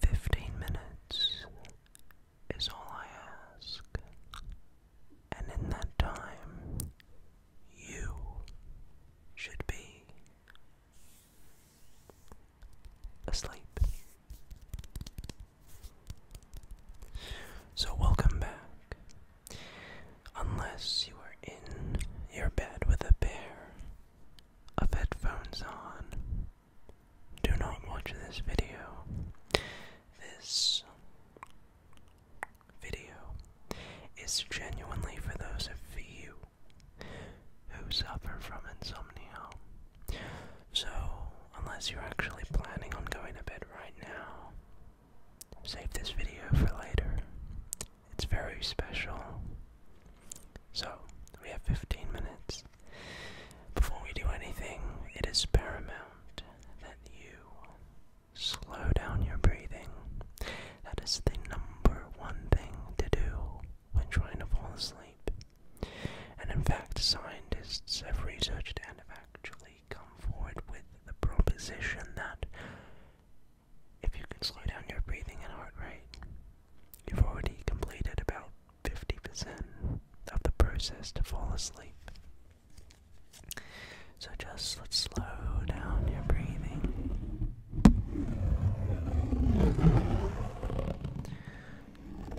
Fifteen minutes is all I ask, and in that time, you should be asleep. So, welcome back. Unless you are in your bed with a pair of headphones on, do not watch this video. This video is genuinely for those of you who suffer from insomnia. So, unless you're actually planning on going to bed right now, save this video for later. It's very special. So, we have 15 minutes. Before we do anything, it is paramount that you slow down your breathing that is the number one thing to do when trying to fall asleep. And in fact, scientists have researched and have actually come forward with the proposition that if you can slow down your breathing and heart rate, you've already completed about 50% of the process to fall asleep. So just let's slow down your breathing.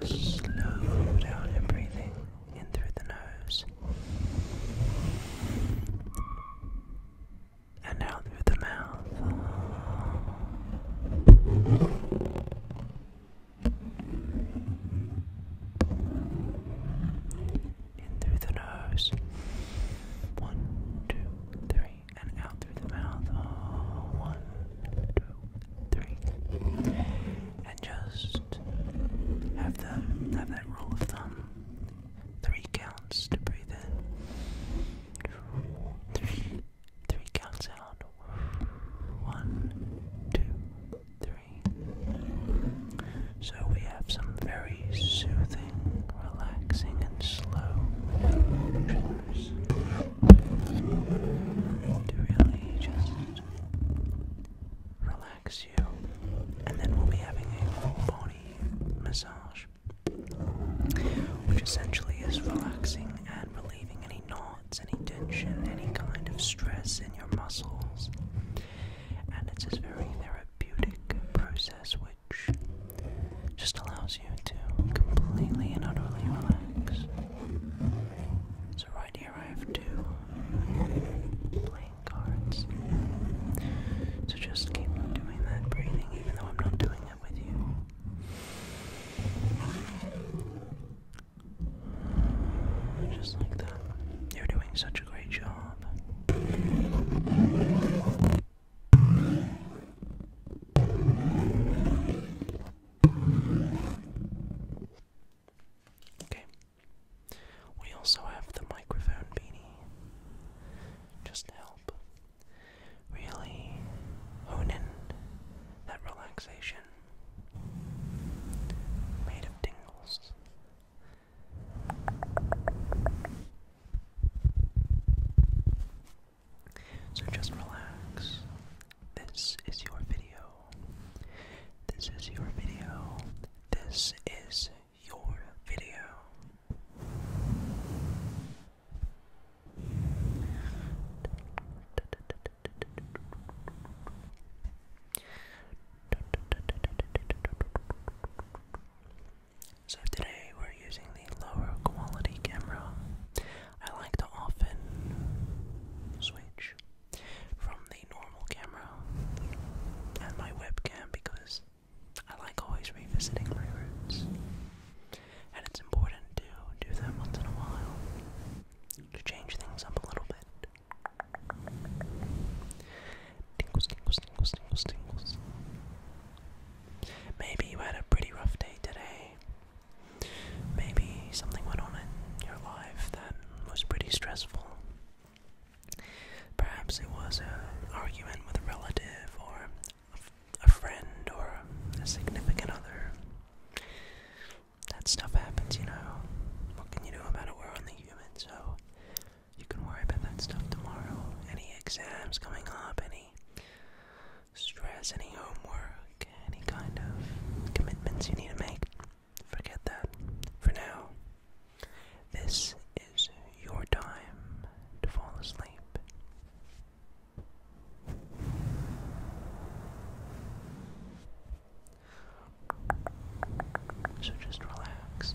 Just slow down your breathing in through the nose and out through the mouth in through the nose. One, two, three, and out through the mouth. Oh, one, two, three. And just have the have that rule of thumb. Three counts to breathe in. Three, three counts out. One, two, three. So we have some very soothing, relaxing, and slow motions to really just relax you. And then we'll be having a full body massage, which essentially is relaxing and relieving any knots, any tension, any kind of stress in your muscles. And it's a very therapeutic process just allows you to completely and utterly relax. So, right here, I have two playing cards. So, just keep doing that breathing, even though I'm not doing it with you. Just like that. You're doing such a great job. Okay. We also have the microphone beanie just help really hone in that relaxation made of tingles so just relax. This is your video. This is your video. This is your video. So today we're using the lower quality camera. I like to often switch from the normal camera and my webcam because I like always revisiting my roots. And it's important to do that once in a while to change things up a little bit. Tingles, tingles, tingles, tingles, tingles. Maybe you had a pretty rough day today. Maybe something went on in your life that was pretty stressful. Perhaps it was an argument with a relative or a, friend or a significant other. That stuff happens, you know. What can you do We're only human, so you can worry about that stuff tomorrow. Any exams coming up, any stress, any homework, any kind of commitments you need to make. Forget that. For now, this is your time to fall asleep. So just relax.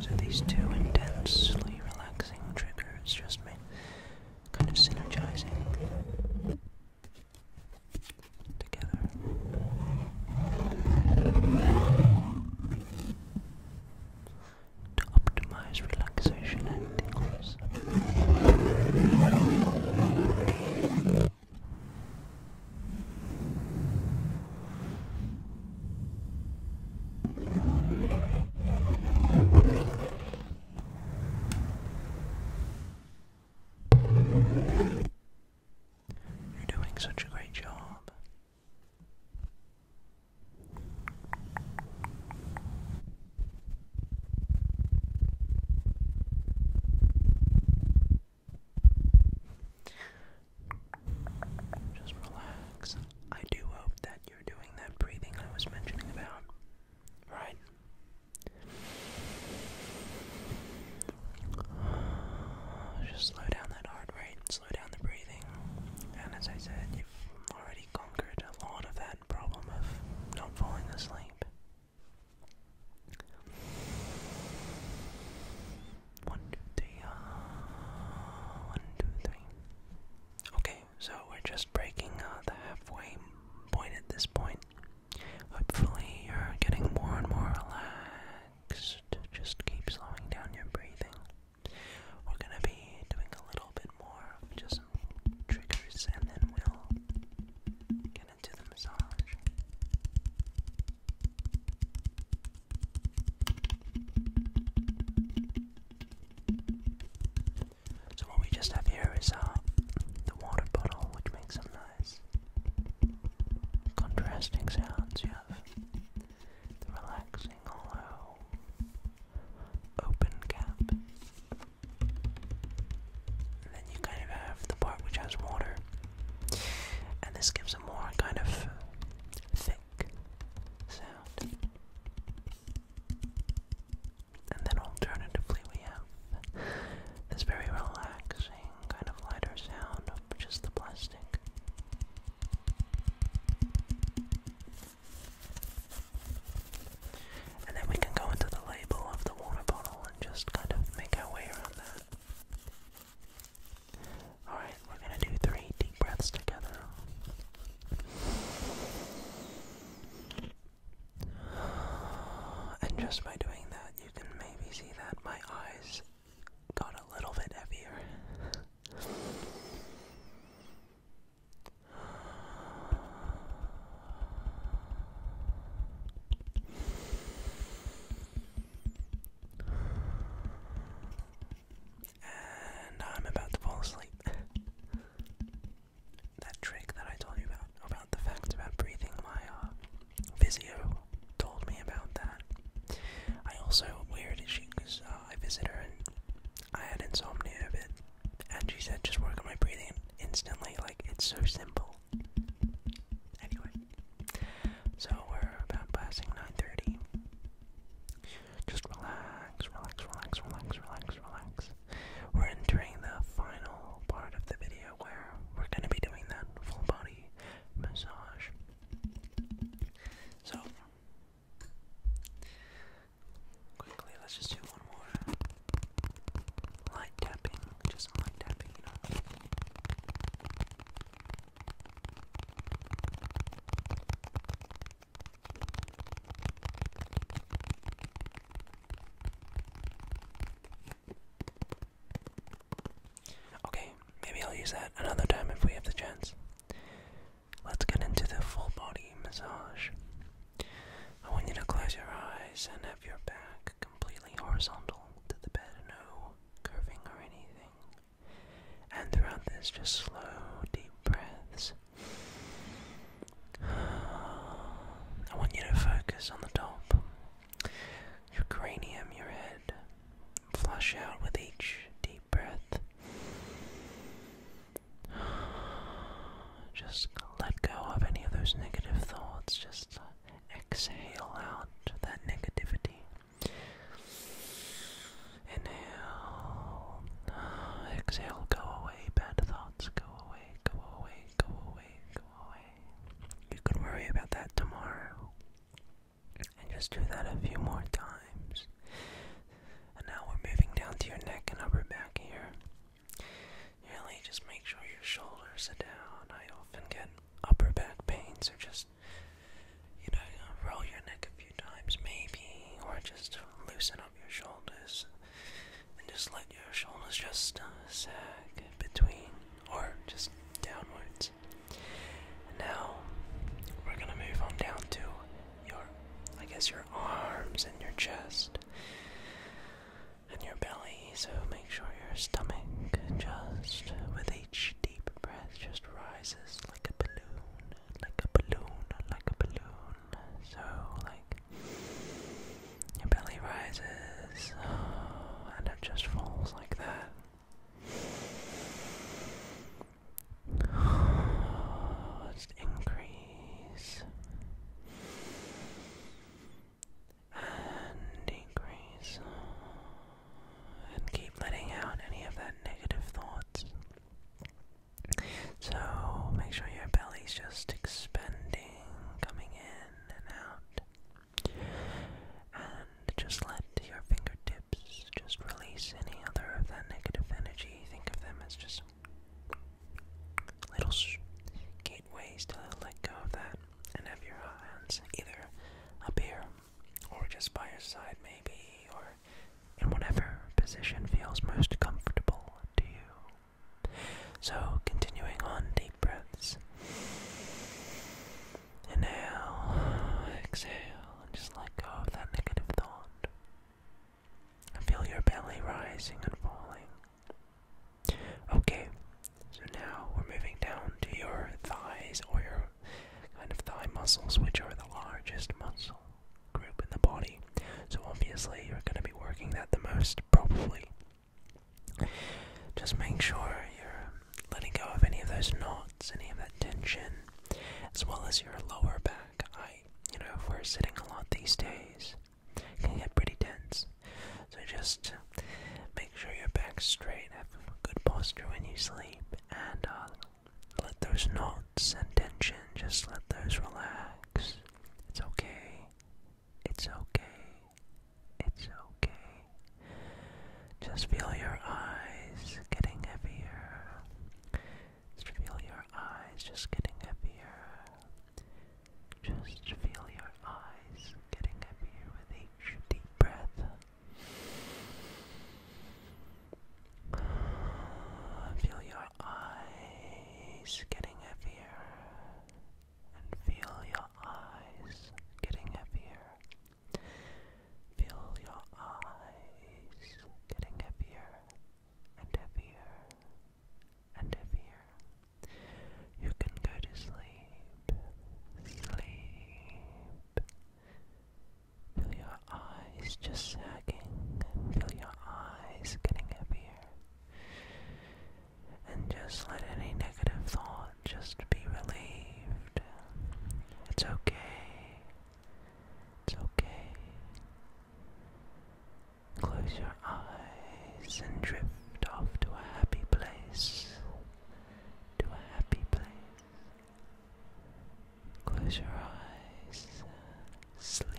So these two intensely relaxing triggers just made kind of synergizing together. To optimize relaxation and tingles up. You're doing such a great job. Just relax. I do hope that you're doing that breathing I was mentioning about. Right? Just slow down that heart rate, slow down the breathing. And as I said, you've already conquered a lot of that problem of not falling asleep. One, two, three. Uh, one, two, three. Okay, so we're just breaking uh, the halfway point at this point. Hopefully, you're getting more and more relaxed. Just keep slowing down your breathing. We're gonna be doing a little bit more, just some triggers, and then we'll get into the massage. So what we just have here is uh, the water bottle, which makes some nice contrasting sounds. You have the relaxing hollow open cap, then you kind of have the part which has water, and this gives a more kind of thick sound. And then alternatively, we have this very relaxing, kind of lighter sound of just the plastic. And then we can go into the label of the water bottle and just kind of make our way around that. Alright, we're gonna do three deep breaths together. And just by doing that, you can maybe see that my eyes got a little bit heavier. And I'm about to fall asleep. that trick that I told you about, about the fact about breathing, my uh, physio told me about that. I also, weird is she, because uh, I visit her and I had insomnia a bit, and she said just work on my breathing instantly. Like, it's so simple. Anyway, so we're about passing 9:30. Just relax, relax, relax, relax, relax, relax. We're entering the final part of the video where we're going to be doing that full body massage. So, quickly, let's just do one more light tapping, just light tapping, you know. Okay, maybe I'll use that another time if we have the chance. Let's get into the full body massage. I want you to close your eyes and have your back completely horizontal to the bed, no curving or anything. And throughout this, just slow, deep breaths. I want you to focus on the top, your cranium, your head. Flush out with each deep breath. Just let go of any of those negative thoughts. Just exhale out that negativity. Inhale, exhale, go away, bad thoughts, go away, go away, go away, go away. You can worry about that tomorrow. And just do that a few more times. And now we're moving down to your neck and upper back here. Really, just make sure your shoulders are down. I often get upper back pains, so just, you know, roll your neck a few times maybe, or just loosen up your shoulders and just let your shoulders just uh, sag between or just downwards. now we're gonna move on down to your, I guess, your arms and your chest and your belly, so make sure your stomach just with each deep breath just rises like a balloon, like a balloon, like a balloon. So like your belly rises and it just falls like that. Just increase and decrease and keep letting out any of that negative thoughts. So make sure your belly's just expanding, coming in and out. And just let your fingertips just release any other of that negative energy. Think of them as just little gateways to let go of that and have your hands either up here or just by your side, maybe, or in whatever position feels most comfortable to you. So, continuing on, deep breaths. Inhale, exhale, and just let go of that negative thought. And feel your belly rising and falling. Okay, so now we're moving down to your thighs or your kind of thigh muscles, which are the largest muscle group in the body. So obviously, you're going to be working that the most, probably. Just make sure you're letting go of any of those knots, any of that tension, as well as your lower back. I, you know, if we're sitting a lot these days, can get pretty tense. So just make sure your back's straight, have good posture when you sleep, and uh, let those knots and tension, just let those relax. It's okay. It's okay. It's okay. Just feel your eyes getting heavier. Just feel your eyes just getting heavier. Just feel your eyes getting heavier with each deep breath. Feel your eyes getting heavier. And feel your eyes getting heavier. Feel your eyes getting heavier and heavier and heavier. You can go to sleep, sleep. Feel your eyes just sagging, feel your eyes getting heavier. And just let any negative thought just be relieved. It's okay. It's okay. Close your eyes and drift off to a happy place. To a happy place. Close your eyes. Sleep.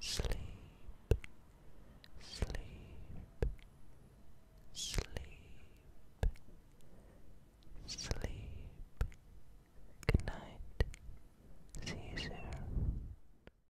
Sleep. Sleep. Sleep. Sleep. Good night. See you soon.